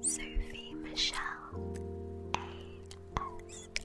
Sophie Michelle ASMR.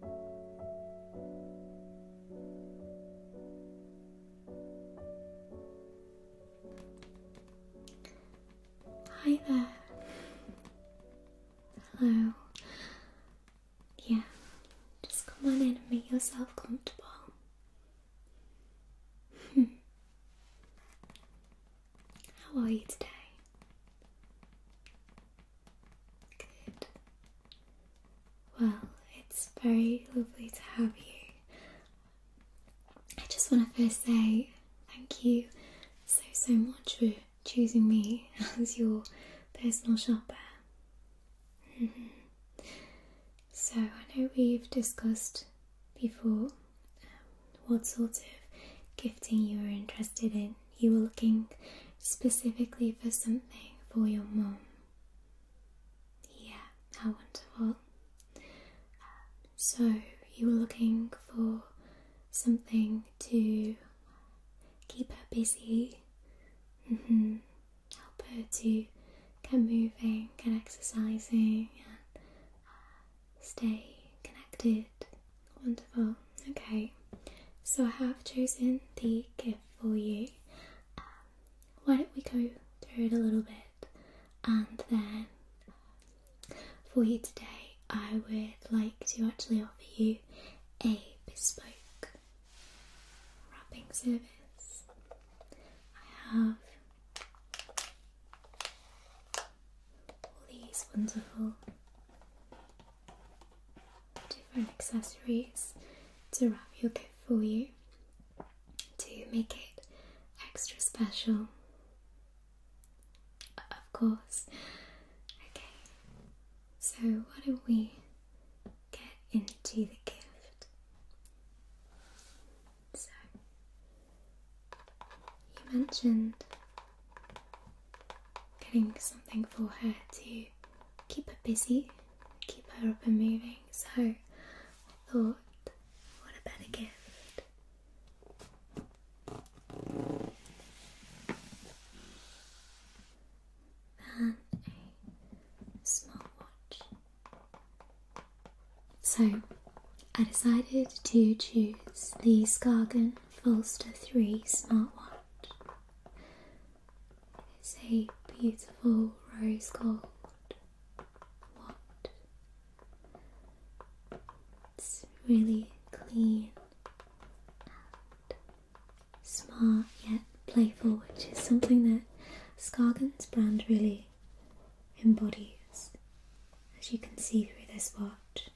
Hi there. Hello. Yeah, just come on in and make yourself comfortable. How are you today? Good. Well, it's very lovely to have you. I just want to first say thank you so, so much for choosing me as your personal shopper. Mm-hmm. So, I know we've discussed before um, what sort of gifting you are interested in, you were looking specifically for something for your mum. Yeah, how wonderful. So, you were looking for something to keep her busy, mm-hmm. help her to get moving get exercising and uh, stay connected. Wonderful. Okay, so I have chosen the gift for you. Um, why don't we go through it a little bit and then for you today, I would like to actually offer you a bespoke wrapping service. I have all these wonderful different accessories to wrap your gift for you to make it extra special. Of course. Okay, so why don't we get into the gift? So, you mentioned getting something for her to keep her busy, keep her up and moving. So I thought, what a better gift. Than a smartwatch. So I decided to choose the Skargan Falster 3 smartwatch. It's a beautiful rose gold What? It's really clean and smart yet playful, which is something that Skagen's brand really embodies, as you can see through this watch.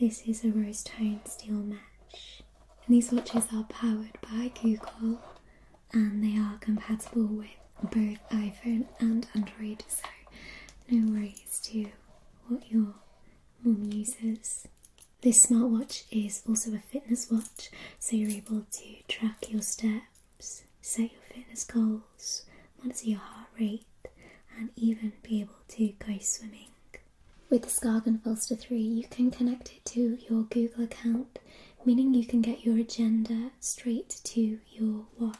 This is a rose tone steel match, and these watches are powered by Google and they are compatible with both iPhone and Android, so no worries to what your mum uses. This smartwatch is also a fitness watch, so you're able to track your steps, set your fitness goals, monitor your heart rate, and even be able to go swimming. With Skargan Foster 3, you can connect it to your Google account, meaning you can get your agenda straight to your watch.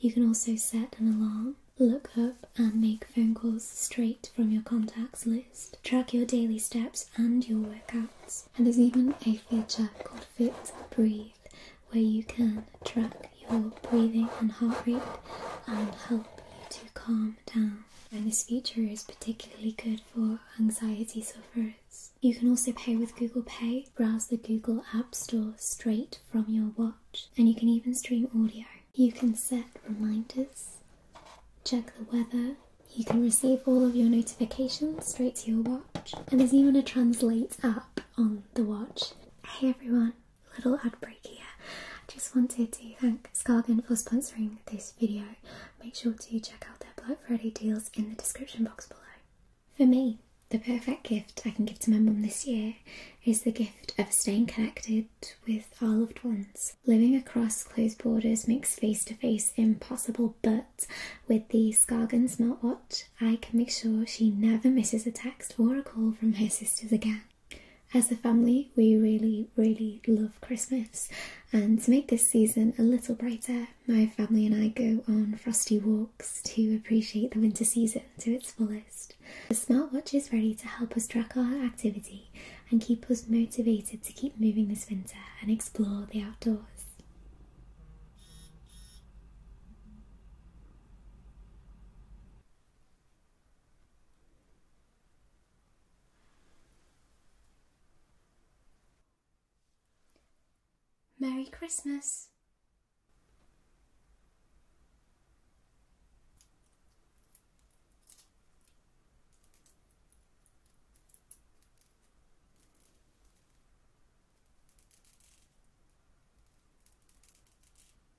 You can also set an alarm, look up and make phone calls straight from your contacts list, track your daily steps and your workouts, and there's even a feature called Fit Breathe where you can track your breathing and heart rate and help you to calm down and this feature is particularly good for anxiety sufferers. You can also pay with Google Pay, browse the Google App Store straight from your watch, and you can even stream audio. You can set reminders, check the weather, you can receive all of your notifications straight to your watch, and there's even a translate app on the watch. Hey everyone, little ad I just wanted to thank Skagen for sponsoring this video. Make sure to check out their Black Friday deals in the description box below. For me, the perfect gift I can give to my mum this year is the gift of staying connected with our loved ones. Living across closed borders makes face to face impossible, but with the Skagen smartwatch, I can make sure she never misses a text or a call from her sisters again. As a family, we really, really love Christmas, and to make this season a little brighter, my family and I go on frosty walks to appreciate the winter season to its fullest. The smartwatch is ready to help us track our activity and keep us motivated to keep moving this winter and explore the outdoors. Merry Christmas.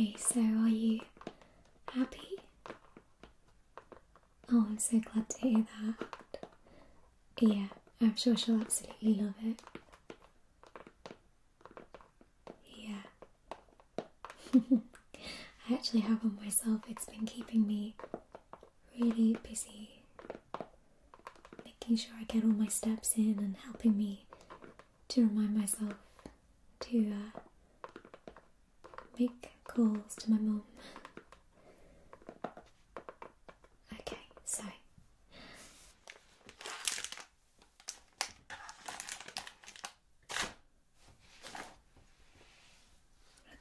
Okay, so are you happy? Oh, I'm so glad to hear that. Yeah, I'm sure she'll absolutely love it. Yeah. I actually have on myself, it's been keeping me really busy making sure I get all my steps in and helping me to remind myself to uh, make calls to my mom. Okay, so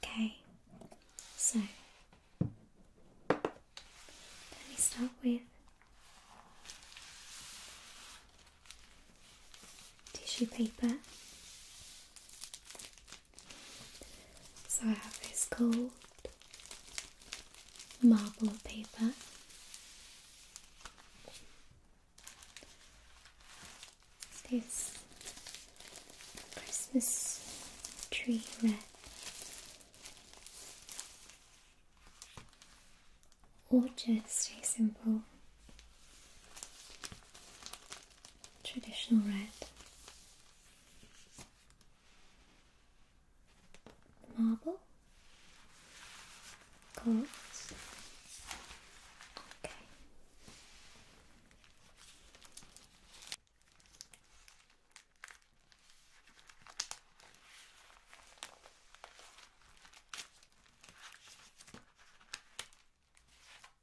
Okay, so let me start with tissue paper so I have this gold marble paper. This Christmas tree red. Or just a simple traditional red marble, quartz. Okay.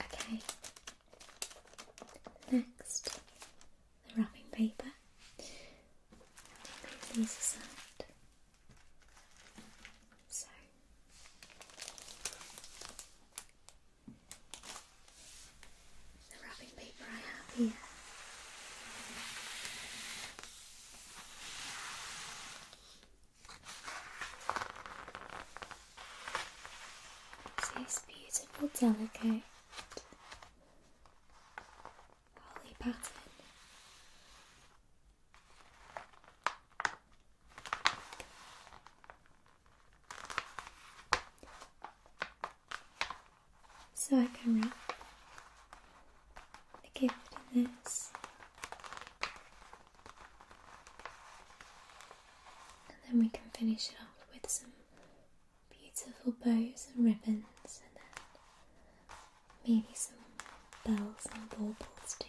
Okay, next wrapping paper. Move these aside. So the wrapping paper I have here this beautiful, delicate holly pattern. So I can wrap the in this and then we can finish it off with some beautiful bows and ribbons, and then maybe some bells and baubles too.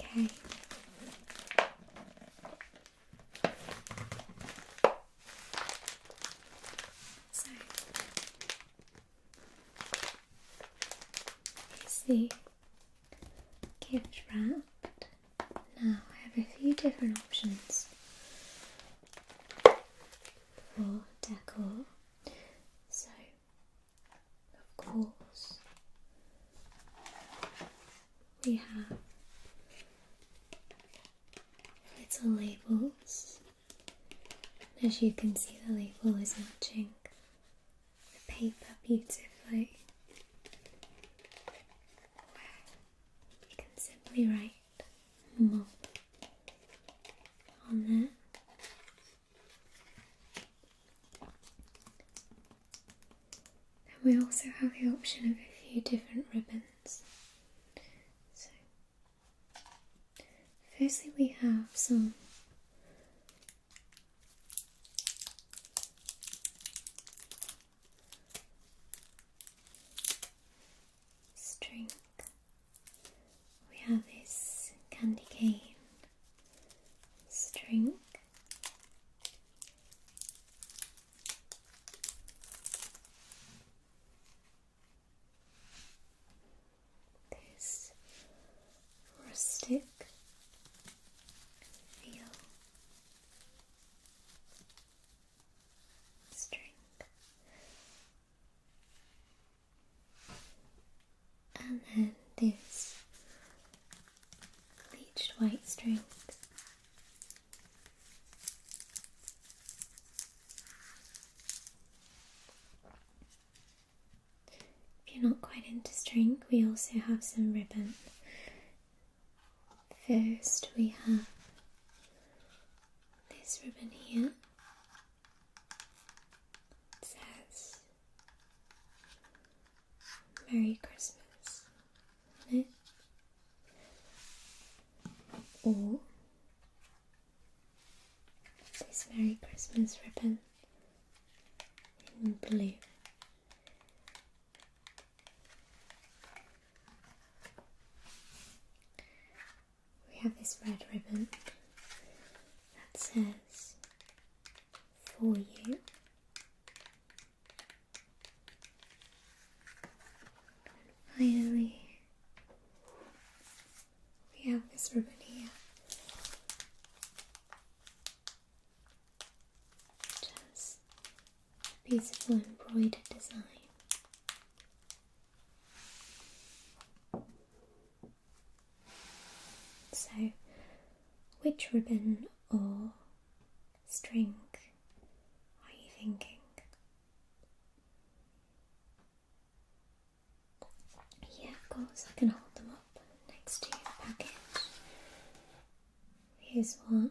Okay. So here's gift wrap. Now I have a few different options for decor. So, of course, we have little labels. As you can see, the label is matching the paper beautifully we can simply write mo on there. And we also have the option of a few different ribbons. So, firstly, we have some. String. We have this candy cane string. This stick feel string and then this bleached white string if you're not quite into string we also have some ribbon first we have this ribbon here says Merry Christmas on Or this Merry Christmas ribbon in blue. We have this red ribbon that says for you. finally, we have this ribbon here. Just beautiful embroidered design. So, which ribbon or string are you thinking? Yeah, of course, I can hold them up next to the package. Here's one,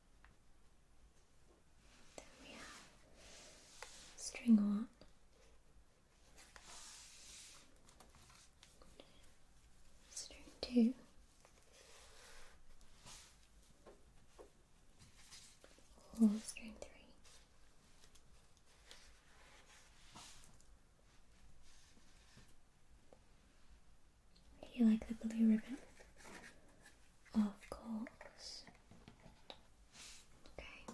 Then we have string one. String two. Or string three. Do you like the blue ribbon? Of course. Okay.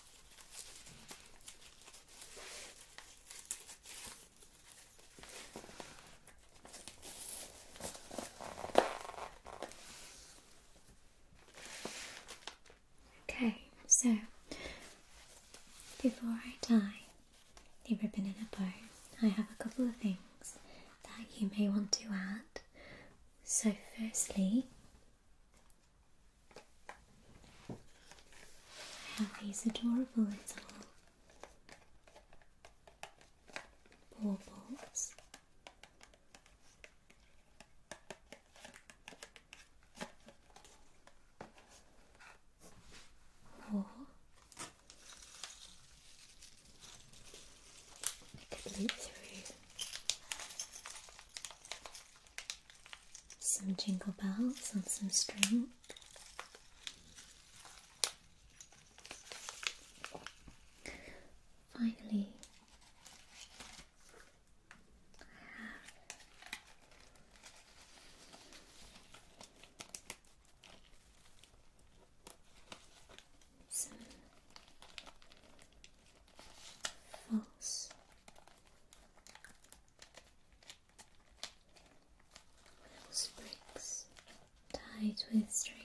Okay, so before I tie the ribbon in a bow, I have a couple of things that you may want to add. So, firstly, I these adorable little baubles. Or I could loop through some jingle bells and some string. Finally, I have some false Little sprigs tied with string.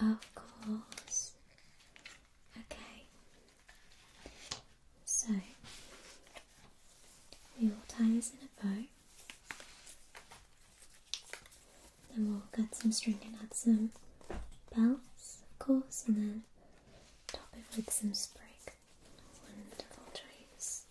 Of course. Okay. So we will tie this in a bow then we'll cut some string and add some bells, of course, and then top it with some sprig. Wonderful trees.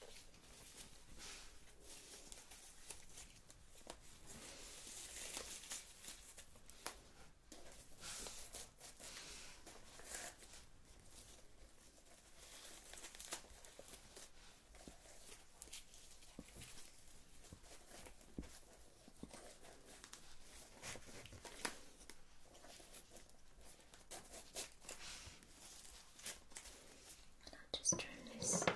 I'll just turn this ever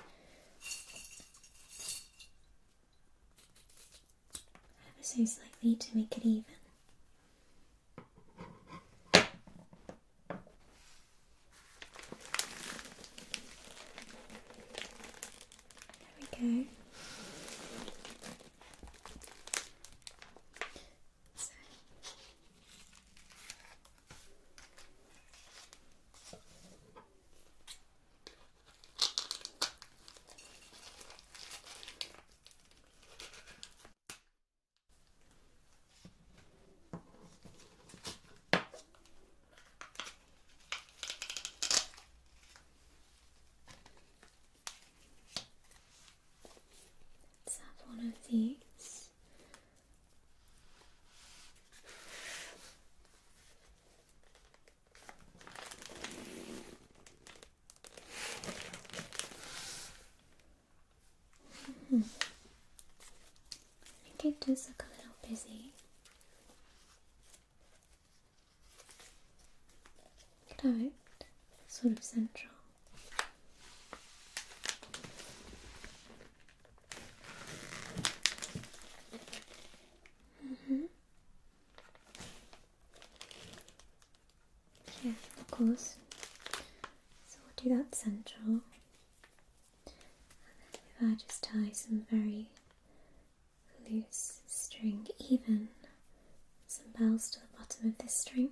so slightly to make it even. There we go. So have one of these. Hmm. I think it does look a little busy. Cloud, sort of central. Mm -hmm. Yeah, of course. So we'll do that central. And then if I just tie some very loose string, even some bells to the bottom of this string.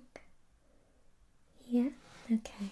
Yeah, okay,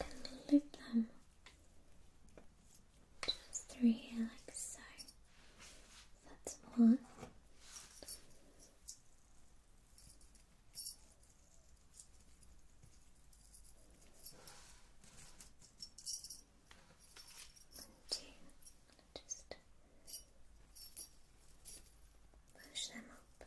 and loop them just through here like so. That's one. Two. Just push them up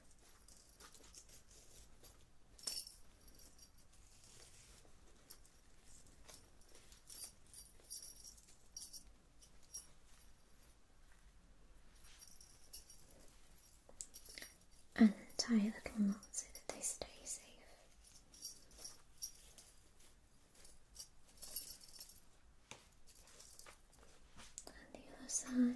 and tie a little knot so that they stay safe. And the other side.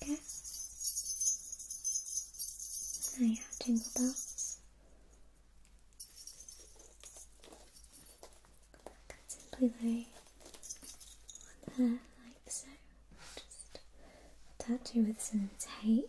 Bigger. Now you have jingle bells. I can simply lay on there like so. Just attach it with some tape.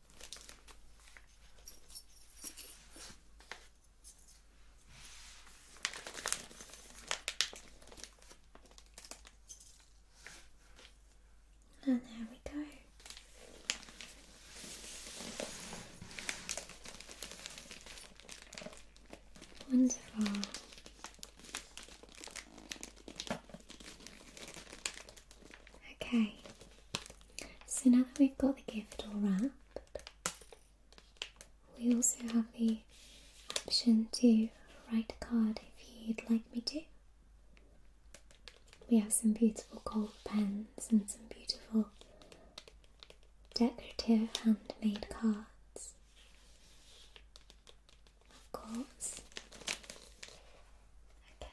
And there we go. Wonderful. Okay, so now that we've got the gift all wrapped, we also have the option to write a card if you'd like me to. We have some beautiful gold pens and some beautiful decorative handmade cards. Of course. Okay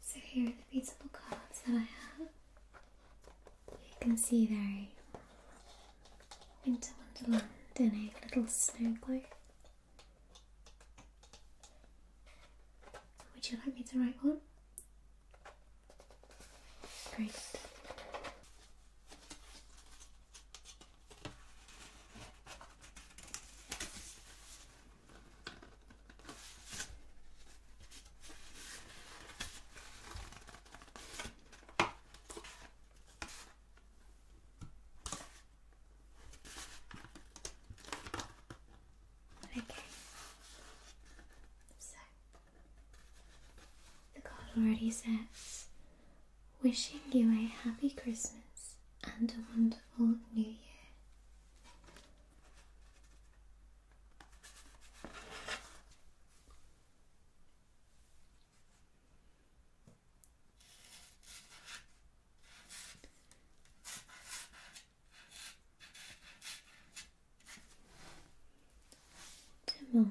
so here are the beautiful cards that I have. You can see there, are winter wonderland in a little snow globe. Would you like me to write one? Great. Okay. So the card already says wishing you a happy Christmas and a wonderful wonderful new year. Tamam.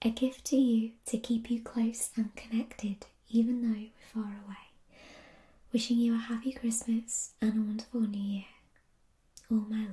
A gift to you to keep you close and connected, even though we're far away. Wishing you a happy Christmas and a wonderful new year. All my love.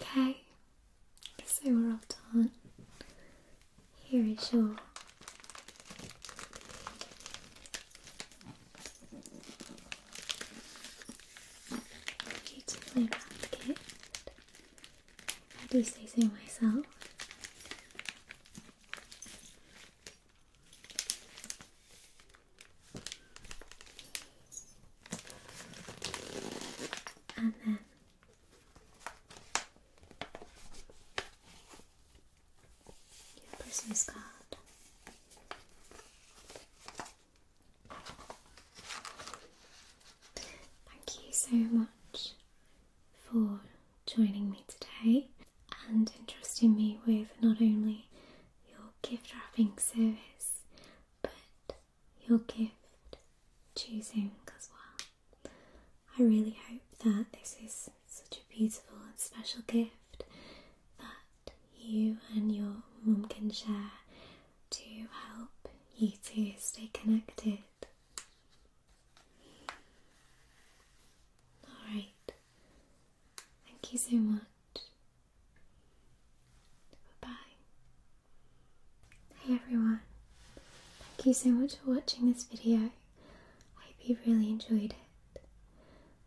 Okay, so we're all done. Here is your beautifully wrapped gift destacing myself. And then your Christmas card. Thank you so much for joining me today and entrusting me with not only your gift wrapping service but your gift choosing as well. I really hope that this is such a beautiful and special gift that you and your mum can share to help you to stay connected. Alright, thank you so much. Bye Hey everyone, thank you so much for watching this video. I hope you really enjoyed it.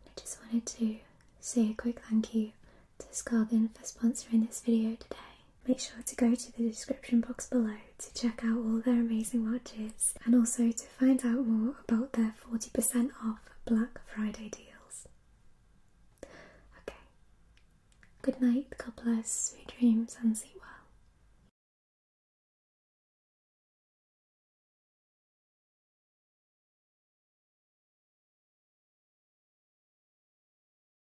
I just wanted to say a quick thank you to Scargan for sponsoring this video today. Make sure to go to the description box below to check out all their amazing watches and also to find out more about their 40% off Black Friday deals. Okay, good night, God bless, sweet dreams, and sleep well.